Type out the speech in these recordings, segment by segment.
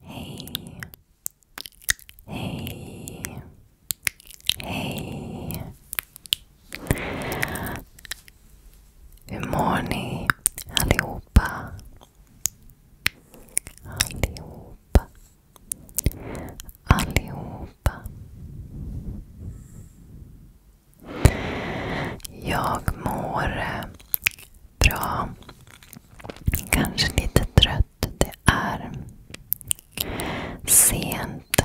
Hej. Hej. Hej. Hur mår ni allihopa? Allihopa. Allihopa. Jag mår eh, bra. Kanske lite trött. Det är sent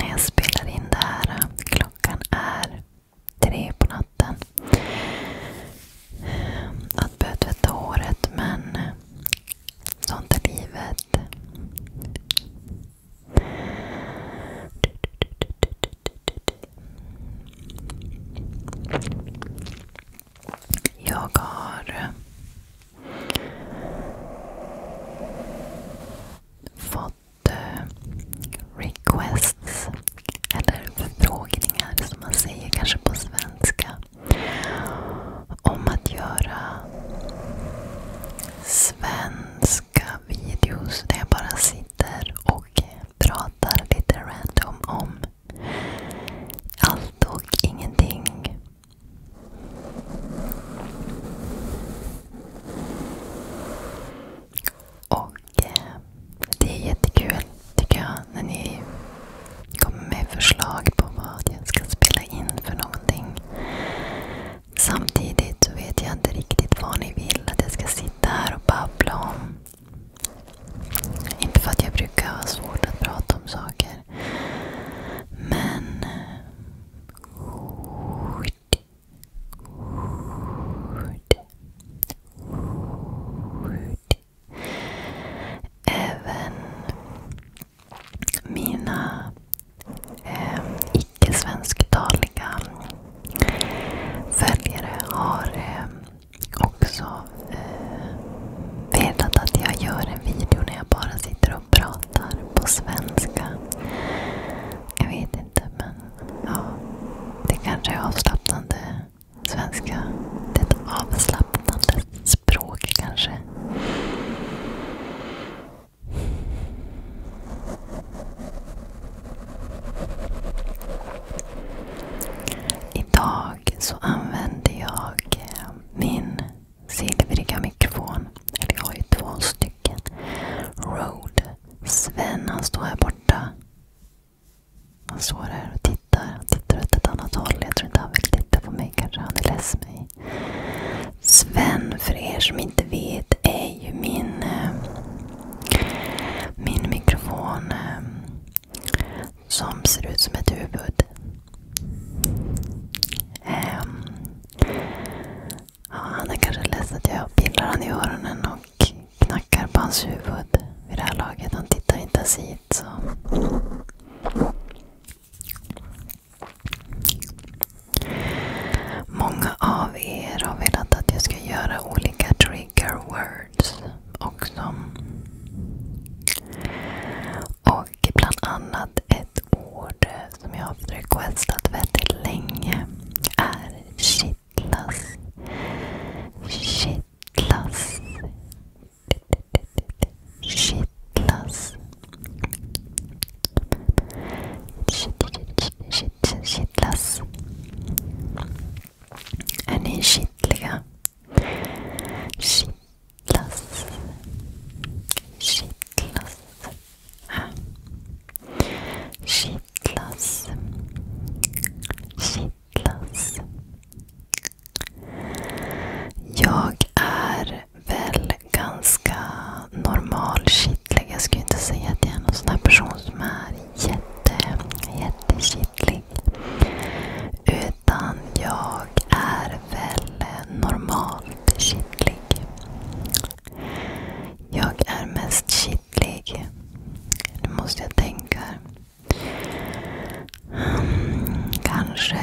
när jag spelar in det här. Klockan är tre på natten. Att börja tvätta håret, men sånt är livet. Jag har eh, fått eh, requests, eller förfrågningar som man säger kanske på svenska, om att göra svenska videos där jag bara sitter och pratar lite random om allt och ingenting. Och eh, det är jättekul tycker jag när ni kommer med förslag på vad jag ska spela in för någonting. Samtidigt så vet jag inte riktigt vad ni vill att jag ska sitta här och babbla om. Inte för att jag brukar ha svårt att prata om saker. Men... Ord. Ord. Ord. Även mina eh, icke svensktaliga följare har eh, också eh, velat att jag gör en video när jag bara sitter och pratar på svenska. Jag vet inte men ja, det kanske är avslappnande svenska. Det är ett avslappnande språk kanske. Idag så använder jag eh, min silvriga mikrofon. Eller jag har ju två stycken. Rode. Sven han står här borta. Han står här och tittar. Han tittar åt ett annat håll. Jag tror inte han vill titta på mig. Kanske han är less mig. Sven, för er som inte vet, är ju min eh, min mikrofon ehm, som ser ut som ett huvud. Ehm, han är kanske ledsen att jag pillar han i öronen och knackar på hans huvud vid det här laget. Han tittar inte ens hit. Många av er har velat att jag ska göra olika trigger words också. Och bland annat ett ord som jag har requestat väldigt länge är kittlas. Kittlas. Kittlas. Kittlas. Är ni kittliga? Kittlas. Kittlas. Kittlas. Kittlas. Jag är väl ganska normal kittlig. Jag skulle inte säga att jag är någon sån här person som är jätte, jättekittlig. Utan jag är väl normalt kittlig. Jag är mest kittlig. Nu måste jag tänka. Hmm, kanske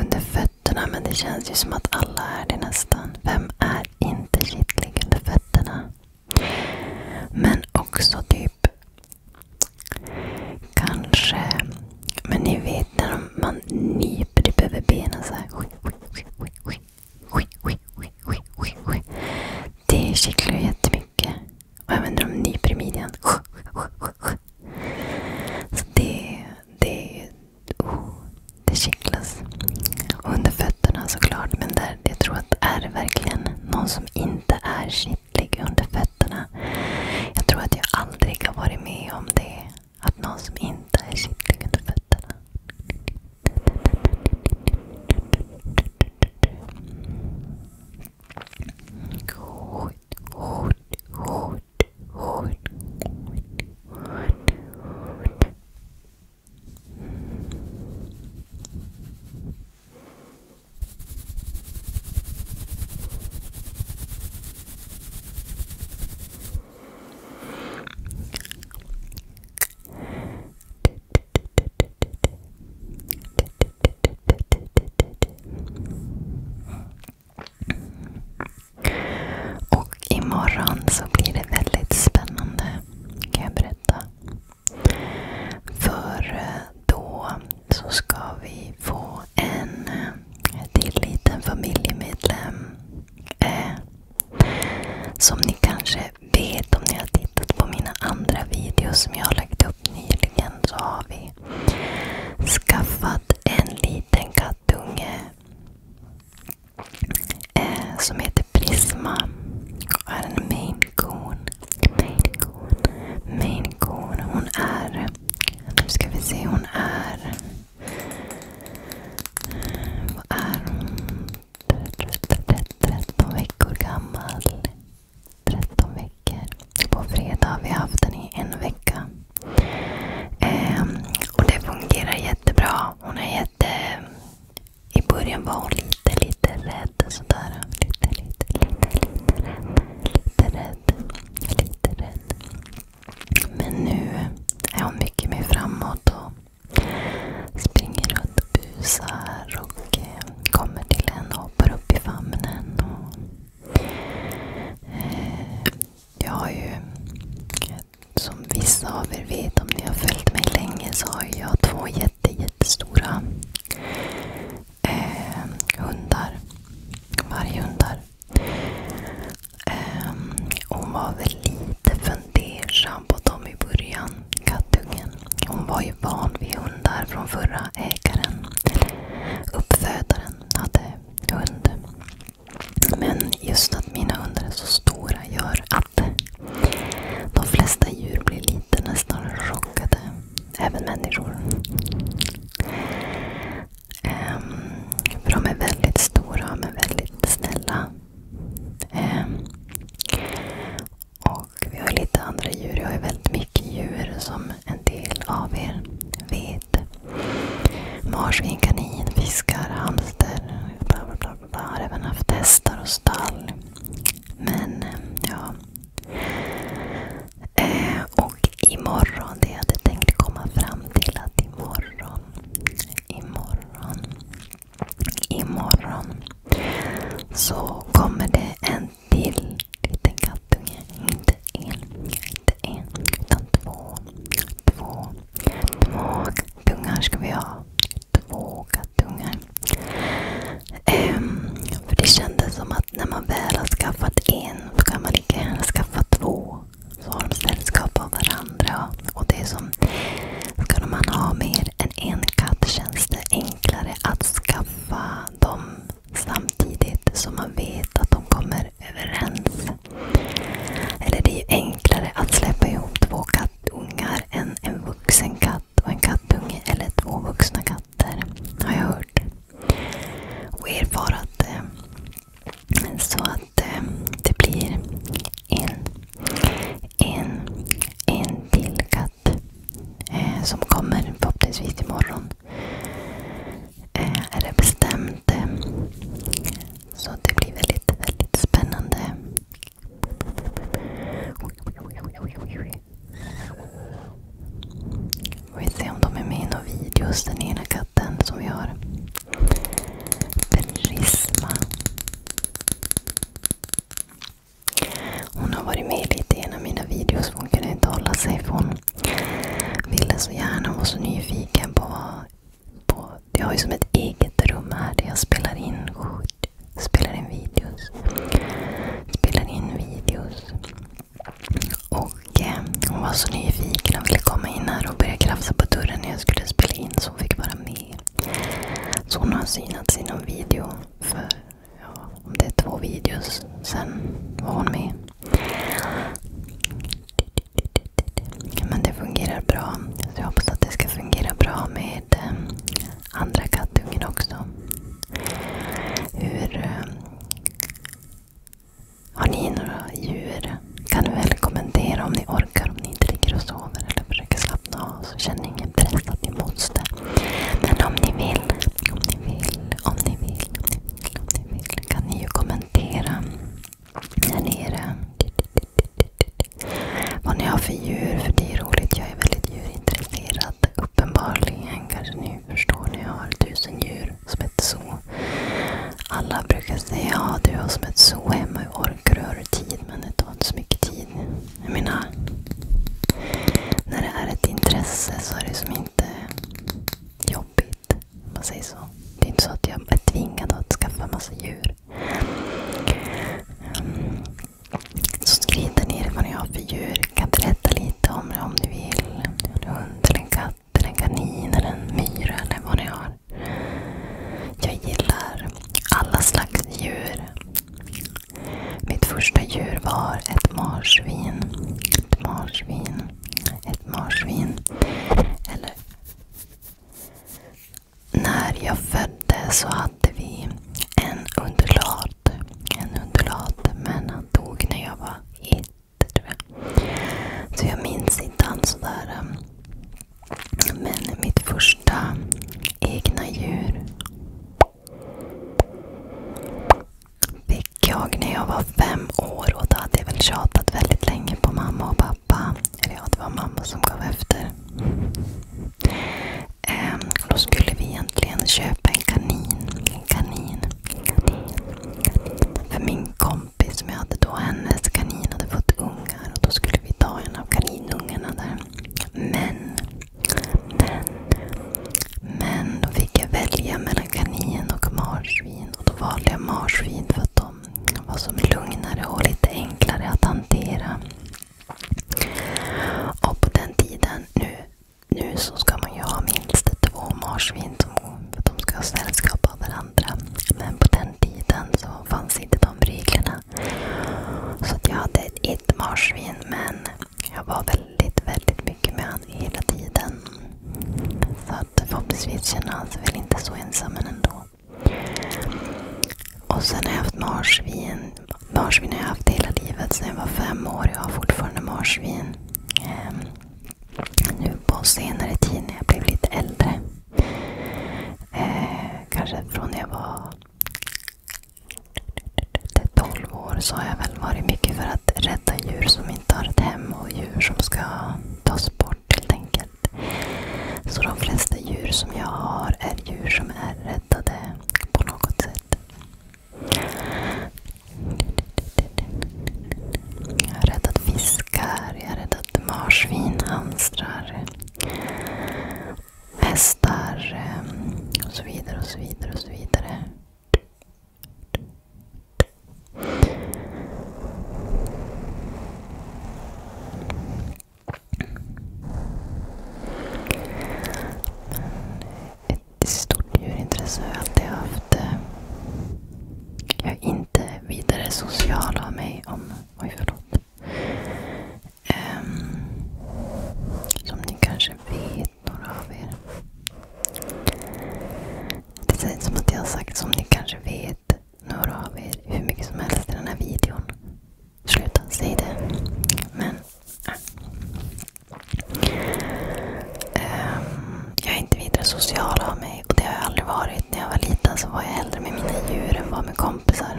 under fötterna, men det känns ju som att alla är det nästan. Vem är inte kittling under fötterna. Men också typ kanske, men ni vet när man nyper typ över benen så här. Det kittlar ju jättemycket. Och även när de nyper i midjan. Så det, det oh, det kittlas. under fötterna såklart, men där, jag tror att är det verkligen någon som inte är kittlig under fötterna. Jag tror att jag aldrig har varit med om det. Att någon som inte är kittlig under fötterna. Och imorgon så blir det väldigt spännande kan jag berätta. För eh, då så ska vi få en eh, till liten familjemedlem. Eh, som ni kanske vet om ni har tittat på mina andra videos som jag har lagt upp nyligen så har vi skaffat en liten kattunge. Eh, som heter Prisma. Och är en main coon. Maine coon. Maine coon. Hon är... Nu ska vi se. Hon är... Vad är hon? 13 veckor gammal. 13 veckor. På fredag har vi haft den i en vecka. Ehm, och det fungerar jättebra. Hon är med... Eh, I början var hon lite, lite rädd. Sådär. Lite, lite, lite, lite rädd. Lite rädd. Lite rädd. Men nu är hon mycket mer framåt och springer runt och busar och eh, kommer till en och hoppar upp i famnen. Och, eh, jag har ju som vissa av er vet, om ni har följt mig länge, så har jag två jätte, jättestora eh, hundar. Varghundar. Eh, hon var väl lite fundersam på dem i början, kattungen. Hon var ju van vid hundar från förra ägaren. Uppfödaren hade hund. Men just att mina hundar är så stora gör kapp. De flesta djur blir lite nästan chockade. Även människor. Ehm, för de är väldigt stora men väldigt snälla. Ehm, och vi har lite andra djur. Jag har väldigt mycket djur som en del av er vet. Marsvin, kanin, fiskar, hamster. Bla bla bla jag har även haft hästar och stall. Men eh, ja. Eh, och imorgon, det jag hade tänkt komma fram till att imorgon, imorgon, imorgon så kommer det en till liten kattunge. Inte en, inte en, utan två. Två Två dungar ska vi ha. Två kattungar. Um, ehm, för det kändes som att när man väl har skaffat en så kan man lika gärna skaffa två. Så har de sällskap av varandra. Och det är som, ska man ha mer än en katt känns det enklare att skaffa dem samtidigt som man vet att de kommer överens. Eller det är ju enklare att släppa ihop två kattungar än en vuxen katt och en kattunge eller två vuxna katter. Har jag hört. Och erfarat. Eh, så att eh, det blir en, en, en till katt eh, som kommer förhoppningsvis imorgon. Är det bestämt. Så det blir väldigt, väldigt spännande. Vi se om de är med i några videos, den ena katten som vi har. Prisma. Hon har varit med lite i en av mina videos för hon kunde inte hålla sig. För hon ville så gärna, hon var så nyfiken på vad på, jag har ju som ett eget rum här där jag spelar in Spelar in videos. Spelar in videos. Och eh, Hon var så nyfiken. och ville komma in här och börja krafsa på dörren när jag skulle spela in. Så hon fick vara med. Så hon har synats i någon video. För ja, om det är två videos sen var hon med. Men det fungerar bra. Så jag hoppas att det ska fungera bra med eh, andra kattungen också. Hur... Eh, har ni några djur? Kan ni väl kommentera om ni orkar, om ni inte ligger och sover eller försöker slappna av. Så känner ingen press att ni måste. Men om ni vill, om ni vill, om ni vill, om ni vill, om ni vill kan ni ju kommentera. Där nere. Vad ni har för djur, för det är roligt. Jag är väldigt djurintresserad. Uppenbarligen kanske ni förstår när jag har tusen djur som ett zoo. Alla brukar säga ja du har som ett zoo hemma. Hur orkar du? tid? Men det tar inte så mycket tid. Jag menar, när det är ett intresse så är det som inte jobbigt. Om man säger så. Det är inte så att jag är tvingad att skaffa massa djur här. Um, så skriv där nere vad ni har för djur. Kan berätta lite om det om du vill. Har du hund, eller en katt, eller en kanin, eller en myra eller vad ni har. Jag gillar alla slags djur. Mitt första djur var ett marsvin. Ett marsvin. Ett marsvin. Eller när jag föddes så hade vi en undulat. En undulat, men han dog när jag var ett, tror jag. Så jag minns inte han sådär. Um, men mitt första egna djur fick jag när jag var fem år och då hade jag väl tjatat väldigt länge på mamma och pappa för ja, det var mamma som gav efter. Ehm, då skulle vi egentligen köpa en kanin. En kanin. En kanin. För min kompis som jag hade då, hennes kanin hade fått ungar. och Då skulle vi ta en av kaninungarna där. Men, men, då fick jag välja mellan kanin och marsvin. Och då valde jag marsvin. För att de var som lugnare och lite enklare att hantera. Och på den tiden, nu, nu så ska man ju ha minst två marsvin som de ska ha sällskap av varandra. Men på den tiden så fanns inte de reglerna. Så jag hade ett marsvin men jag var väldigt, väldigt mycket med honom hela tiden. Så att förhoppningsvis känner han sig väl inte så ensam ändå. Och sen har jag haft marsvin. Marsvin har jag haft hela livet Sen jag var fem år. Jag har fortfarande marsvin. Um, nu på senare tid när jag blev lite äldre. Eh, kanske från när jag var 12 år så har jag väl varit mycket för att rädda djur som inte har ett hem och djur som ska tas bort helt enkelt hit. Så de flesta djur som jag har är djur som är räddade på något sätt. Jag har räddat fiskar, jag har räddat marsvin, hamstrar, hästar eh, och så vidare och så vidare. och så vidare. Ett stort djurintresse har jag alltid haft. Jag är inte vidare social av mig. om Oj, förlåt. Ehm, som ni kanske vet, några av er. Det känns som att jag har sagt som ni kanske vet några av er hur mycket som helst i den här videon. Sluta, säg det. Men, äh. Ehm, jag är inte vidare social av mig och det har jag aldrig varit. När jag var liten så var jag hellre med mina djur än var med kompisar.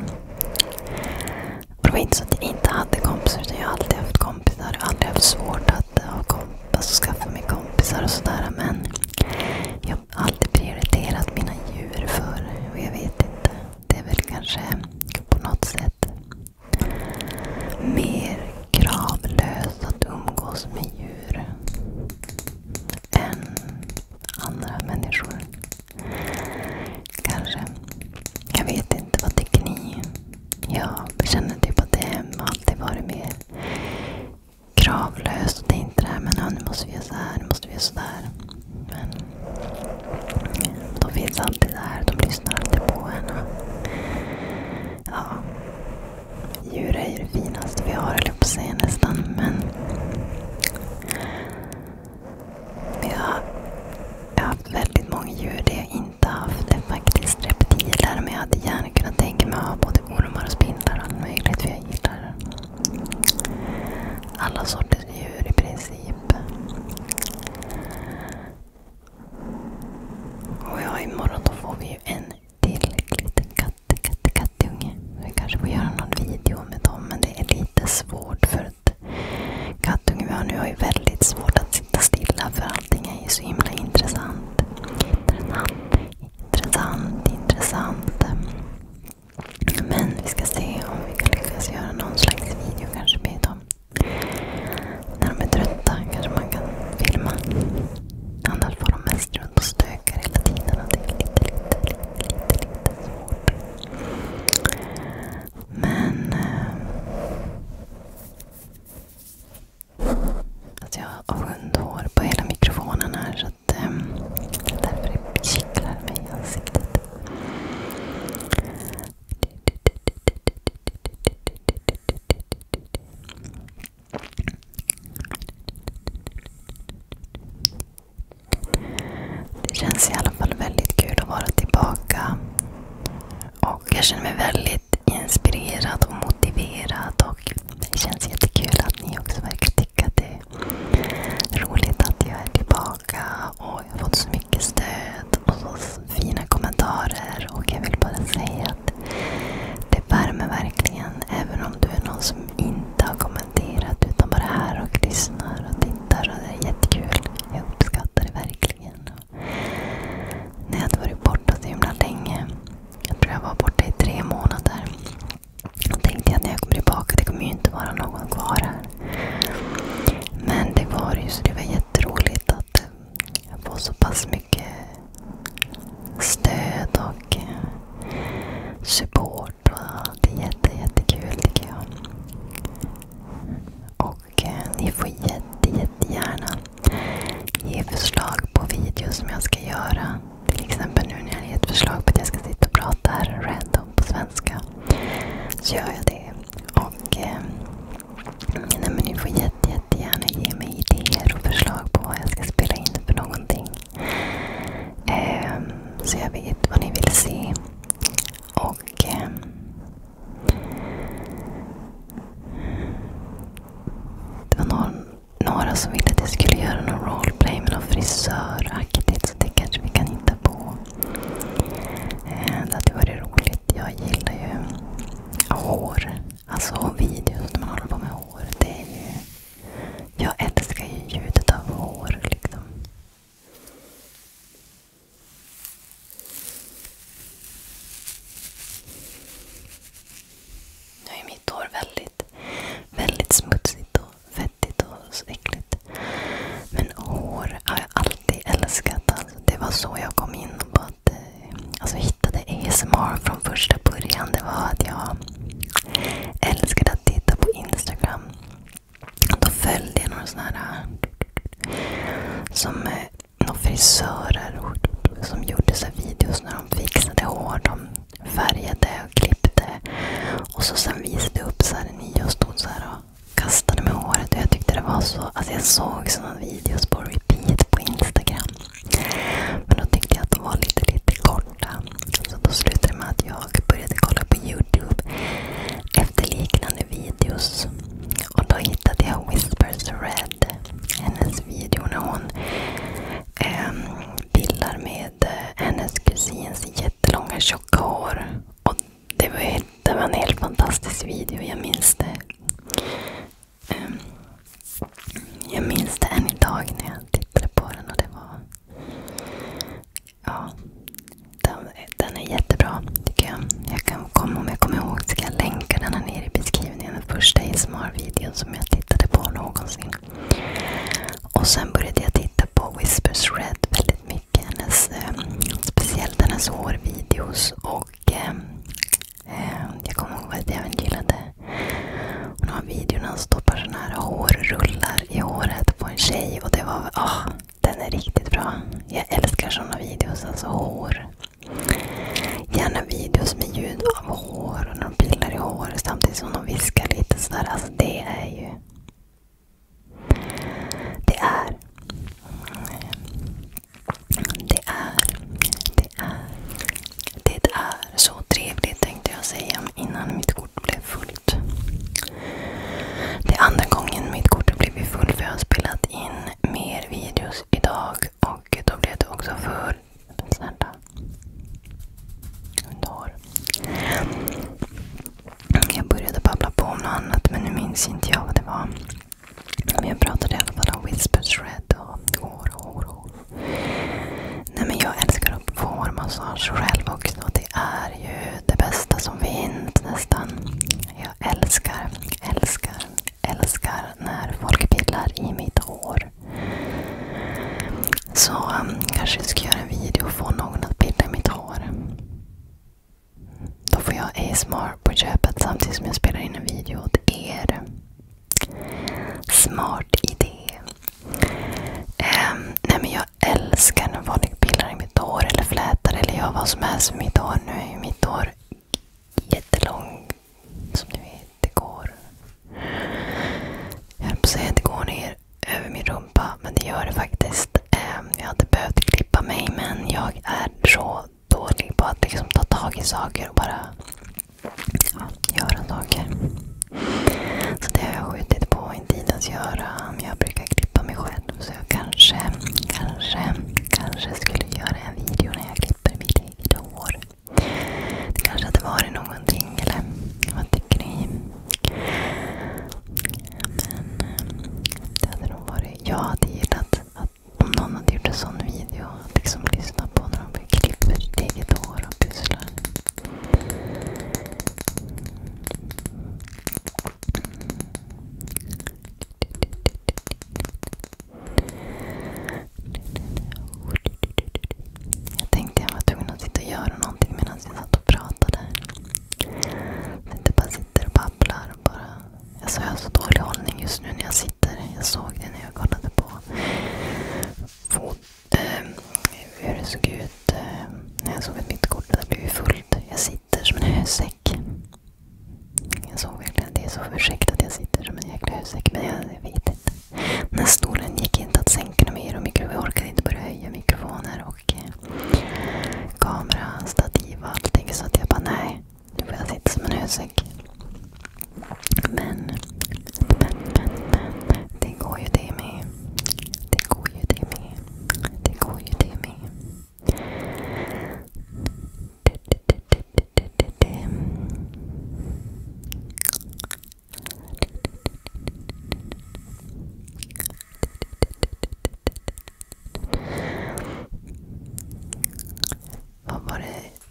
Och det var inte så att jag inte hade kompisar utan jag har alltid haft kompisar. Jag har aldrig haft svårt att ha komp alltså skaffa mig kompisar och sådär. Men jag alltid prioriterat mina djur för. Och jag vet inte. Det är väl kanske på något sätt mer kravlöst att umgås med djur än andra människor. Kanske. Jag vet inte. Vad tycker ni? Jag känner typ att det har alltid varit mer Kravlöst, Och det det här men nu måste vi göra så här, nu måste vi göra så där. Men de finns alltid där. De lyssnar alltid på en. ja, djur är ju det finaste vi har, eller på sig nästan. Men jag, jag har haft väldigt många djur. Det jag inte haft är faktiskt reptiler. Men jag hade gärna gärna kunna tänka mig att ha både ormar och spindlar och allt möjligt. För jag gillar alla sorters djur i princip. Och ja, imorgon då får vi ju en till liten katt, katt, kattunge. Vi kanske får göra någon video med dem, men det är lite svårt för att kattungen vi har nu har ju väldigt svårt att sitta stilla för allting är ju så himla Intressant. Intressant, intressant. Men vi ska se om vi kan lyckas göra någon slags video kanske med dem. När de är trötta kanske man kan filma. Annars får de mest runt och stökar hela tiden. Och det är lite, lite, lite, lite, lite svårt. Men... Eh, Alltså jag har hundhår på hela mikrofonen här så att um, därför det kittlar mig i ansiktet. Det känns i alla fall väldigt kul att vara tillbaka. Och jag känner mig väldigt inspirerad och motiverad och det känns jättekul att ni också verkar tycka att det är roligt att jag är tillbaka. och Jag har fått så mycket stöd och så fina kommentarer. och Jag vill bara säga att det värmer verkligen. Även om du är någon som inte har kommenterat utan bara är här och lyssnar och tittar. och Det är jättekul. Jag uppskattar det verkligen. Och när jag har varit borta så himla länge jag tror jag var borta i tre månader. Jag tänkte att när jag kommer tillbaka, det kommer ju inte vara någon kvar här. Men det var ju, så det var jätteroligt att eh, få så pass mycket stöd och eh, support. det är jätte, jättekul tycker jag. Och eh, ni får jätte, jättegärna ge förslag på videos som jag ska göra. Till exempel nu när jag har ett förslag på att jag ska sitta och prata random på svenska. Så gör jag det. Och eh, nej, men Ni får jätte, jättegärna ge mig idéer och förslag på vad jag ska spela in för någonting. Eh, så jag vet vad ni vill se. Och eh, Det var någon några som ville att jag skulle göra någon roleplay med någon frisöraktigt. Så det kanske vi kan hitta på. Eh, det hade varit roligt. Jag gillar ju hår. Alltså videos när man håller på med hår. Jag älskar ju ljudet av hår. Liksom. väldigt väldigt, smutsigt och fettigt och så äckligt. Men hår har jag alltid älskat. Alltså. det var så jag kom in på att eh, alltså, hittade ASMR från första början. Det var att jag älskade att titta på Instagram. Då följde jag några eh, frisörer som gjorde så videos när de fixade hår. De färgade och klippte. Och så sen visade jag upp så här, en och stod så här och kastade med håret. Och jag tyckte det var så... Alltså jag såg sådana videos på repeat på Instagram. Men då tyckte jag att de var lite, lite korta. Så då slutade det med att jag började kolla på Youtube efter liknande videos. Och då hittade jag Whispers Red. Hennes video när hon Ehm, eh, bilder med hennes kusins jättelånga tjocka hår. Och det, var det var en helt fantastisk video, jag minns det. Ehm, jag minns det än idag när jag tittade på den. och det var ja den, den är jättebra tycker jag. jag kan, om jag kommer ihåg ska jag länka den här nere i beskrivningen den första ASMR-videon som jag tittade på någonsin. Och sen började jag titta på Whispers Red väldigt mycket. Hennes, eh, speciellt hennes hårvideos. Och, eh, jag kommer ihåg att jag även gillade hon har videon när han stoppar såna här hårrullar i håret på en tjej. Och det var, oh, den är riktigt bra. Jag älskar såna videos. Alltså hår. Gärna videos med ljud av hår och när de pillar i håret samtidigt som de viskar lite. Sådär. Alltså det är ju... Det är... Det är... Det är... Det är så trevligt tänkte jag säga innan mitt kort blev fullt. Det är andra gången mitt kort har blivit fullt för jag har spelat in mer videos idag och då blev det också fullt. Men snälla. Hundar. Jag började babbla på om något annat men nu minns inte jag vad det var. Men jag pratade i alla fall om whisper shred och hår, hår, hår. Nej men jag älskar att få själv också. Det är ju det bästa som finns nästan. Jag älskar, älskar, älskar när folk pillar i mitt hår. Så um, kanske jag ska göra en video och få någon att pilla i mitt hår. Då får jag ASMR på köpet samtidigt som jag spelar in en video åt er. Smart idé. Um, nej men Jag älskar när folk pillar i mitt hår eller flätar eller gör vad som helst med mitt hår. Nu är ju mitt hår jättelångt som ni vet, det går... Jag höll på att säga att det går ner över min rumpa, men det gör det faktiskt. Ehm, jag hade behövt klippa mig, men jag är så dålig på att liksom ta tag i saker och bara ja, göra saker. Så det har jag skjutit på inte tidens göra. Men Jag brukar klippa mig själv, så jag kanske, kanske, kanske skulle göra en video när jag klipper mitt eget hår. Det kanske hade varit någonting, eller vad tycker ni? Men eh, det hade nog varit... Jag hade gillat att om någon hade gjort en sån video, att liksom lyssna på när de klipper sitt eget hår och pysslar. Jag tänkte jag var tvungen att sitta och göra någonting medan jag satt och pratade. Så sitter och babblar. Och bara... Alltså jag har så dålig hållning just nu när jag sitter. Jag såg det när jag kollade på eh, hur det såg ut eh, när jag såg att mitt kort hade blivit fullt. Jag sitter som en hösäck. Jag såg verkligen det. är så ursäkta att jag sitter som en jäkla hösäck. Men jag vet konstigt. Den här stolen gick inte att sänka mer och vi orkade inte börja höja mikrofoner och eh, kamera, stativ och allting. Så att jag bara, nej. Nu får jag sitta som en hösäck. Men, men, men, men. Det går ju det med. Det går ju det med. Det går ju det med.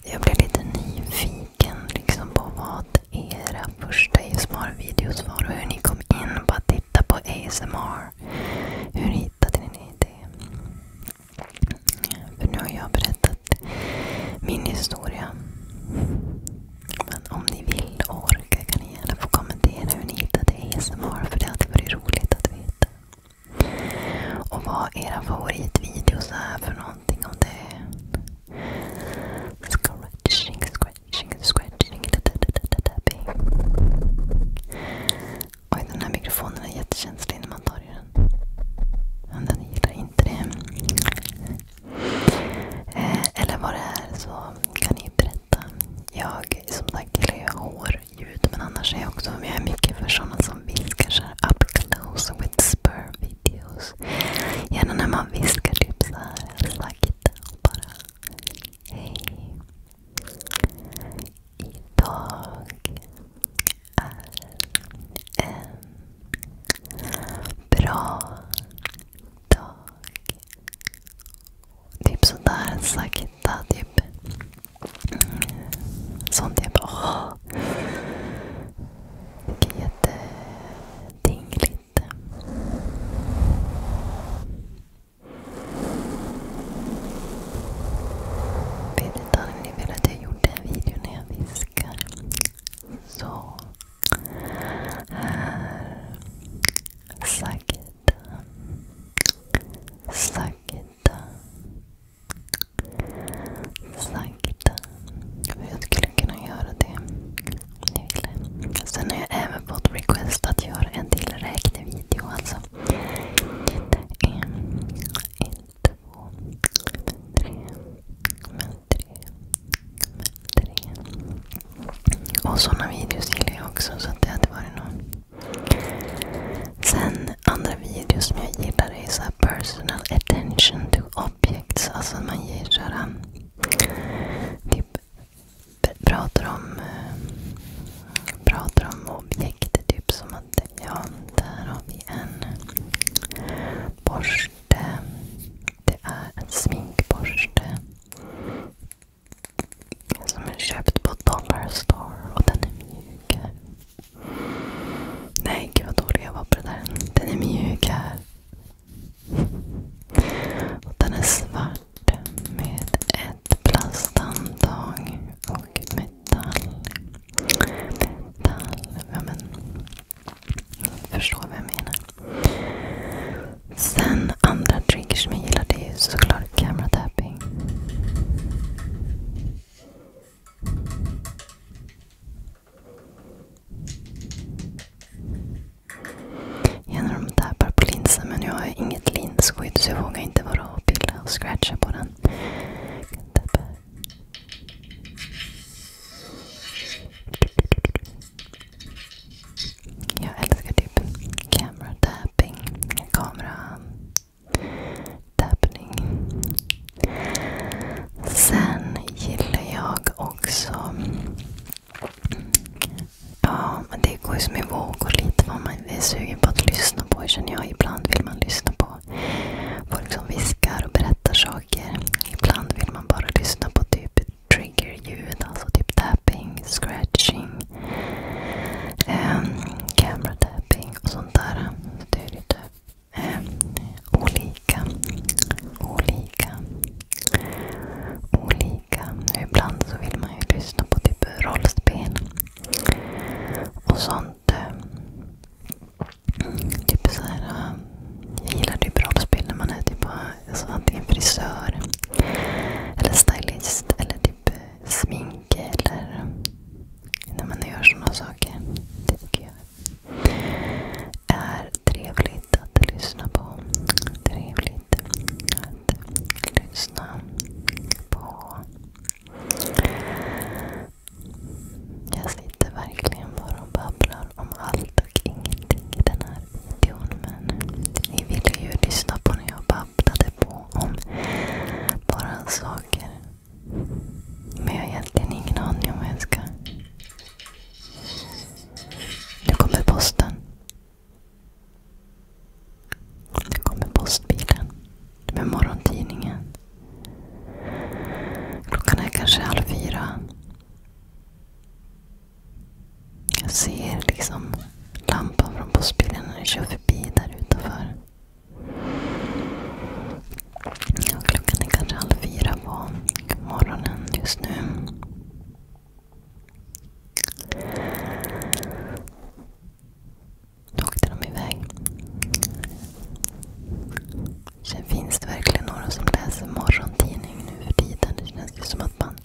Jag blev lite nyfiken liksom på vad era första ASMR-videos var och hur ni kom in på att titta på ASMR. Hur hittade ni det? För nu har jag berättat min historia. Men om ni vill och orkar kan ni gärna få kommentera hur ni hittade ASMR. För det hade varit roligt att veta. Och vad era favoritvideos är för någonting. Om det är scratching, scratching, scratching. Oj, den här mikrofonen är jättekänslig när man tar i den hunden. Hunden gillar inte det. Eh, eller vad det är så kan ni berätta. Jag som sagt gillar ju hårljud men annars är jag också jag är mycket för sådana som viskar så här up close whisper videos. Gärna när man viskar typ så här sakta och bara Hej. Idag är en bra dag. Typ sådär sakta. Typ. Mm. Sånt jag typ. bara... Åh. Det är jättedingligt jag gjorde en video när jag viskar. Så. Här. Sakta. Sakta. Sakta. Jag skulle kunna göra det om ni ville. Sen har jag även fått request att göra en till räknevideo. Alltså. En, en, två, tre, men tre, tre. Och sådana videos gillar jag också, så det hade varit någon. Sen andra videos som jag gillar är så personal attention to objects. Alltså man ger så typ pratar om, eh, pratar om objekt typ som Ja, där har vi en borste. Det är en sminkborste. Som är köpt på Dollar och den är mjuk. Nej, gud vad dålig jag var på det där. Den är mjuk här. Och den är svart med ett plasthandtag och med detalj. Detalj. Ja, men, förstår vad jag menar. Sen andra triggers som jag gillar det är ju såklart camera tapping. Jag när de tappar på linsen men jag har inget linsskydd så jag vågar inte vara och pilla och scratcha på den. Jag kan tappa jag älskar typ camera tapping. Kamera tappning. Sen gillar jag också... Ja, det går ju som i vågor lite vad man är sugen på att lyssna på. känner jag. Ibland vill man lyssna på och folk som viskar och berättar saker. Ibland vill man bara lyssna på typ triggerljud, alltså typ tapping, scratching, ehm, camera tapping och sånt där. det är lite ehm, olika. Olika. Olika. Ibland så vill man ju lyssna på typ rollspel och sånt sånt. Eh, typ så här, eh, jag gillar typ rollspel när man är typ, alltså, antingen frisör, eller stylist, eller typ smink. Eller när man gör såna saker. Det tycker jag är trevligt att lyssna på. Trevligt att lyssna på. Jag sitter verkligen bara och babblar om allt och ingenting i den här videon. Men ni ville ju lyssna på när jag babblade på om bara saker. Men jag har egentligen ingen aning om vad jag ska... Nu kommer posten. Nu kommer postbilen med morgontidningen. Klockan är kanske halv fyra. Jag ser liksom lampan från postbilen när den kör förbi där utanför. Ja, klockan är kanske halv fyra på morgonen just nu. Då åkte de iväg. Sen finns det verkligen några som läser morgontidning nu för tiden. Det känns ju som att man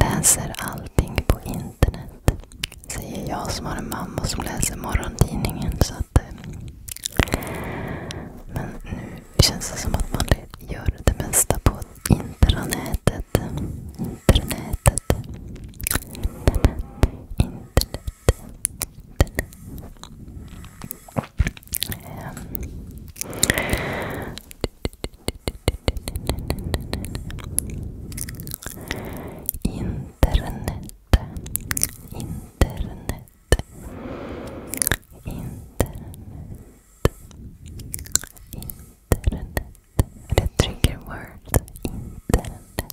läser allting på internet. Säger jag som har en mamma som läser morgontidningen. Eh, men nu känns det som att man gör det mesta på intranätet. Intranätet. Internet. Internet. Internet, internet, internet, internet, the trigger word, internet.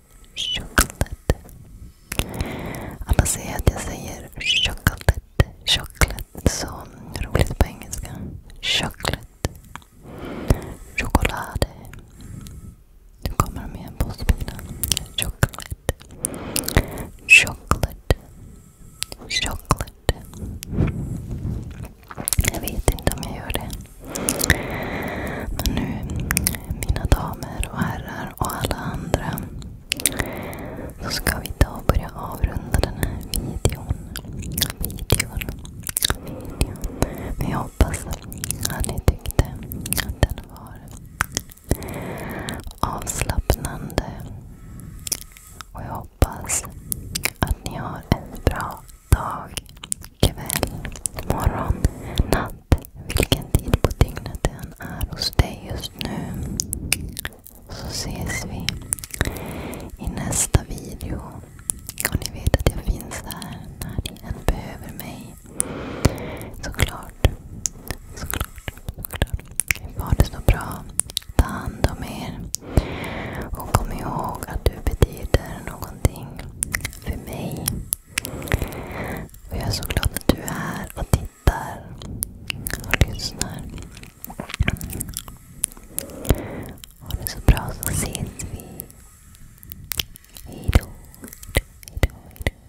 Chocolate. Alla säger att jag säger chocolate. Chocolate. Så roligt på engelska. Chocolate. Chokolade. Nu kommer de igen, postbilen. Chocolate. Chocolate. Chocolate. Jag vet inte om jag gör det. Men nu, mina damer och herrar och alla andra, så ska vi idag börja avrunda den här videon. videon. videon. Men jag hoppas att ni tyckte att den var avslappnande. Och jag hoppas att ni har en bra dag kväll, morgon, natt. Vilken tid på dygnet det än är hos dig just nu. Så ses vi i nästa video. Och ni vet att jag finns där när ni än behöver mig. Såklart. Såklart. Såklart. Ha det så bra. Ta hand om er. Och kom ihåg att du betyder någonting för mig. Och jag är så glad att du är här och tittar och lyssnar. Ha det så bra så ses vi. Hejdå. Hejdå, hejdå, hejdå.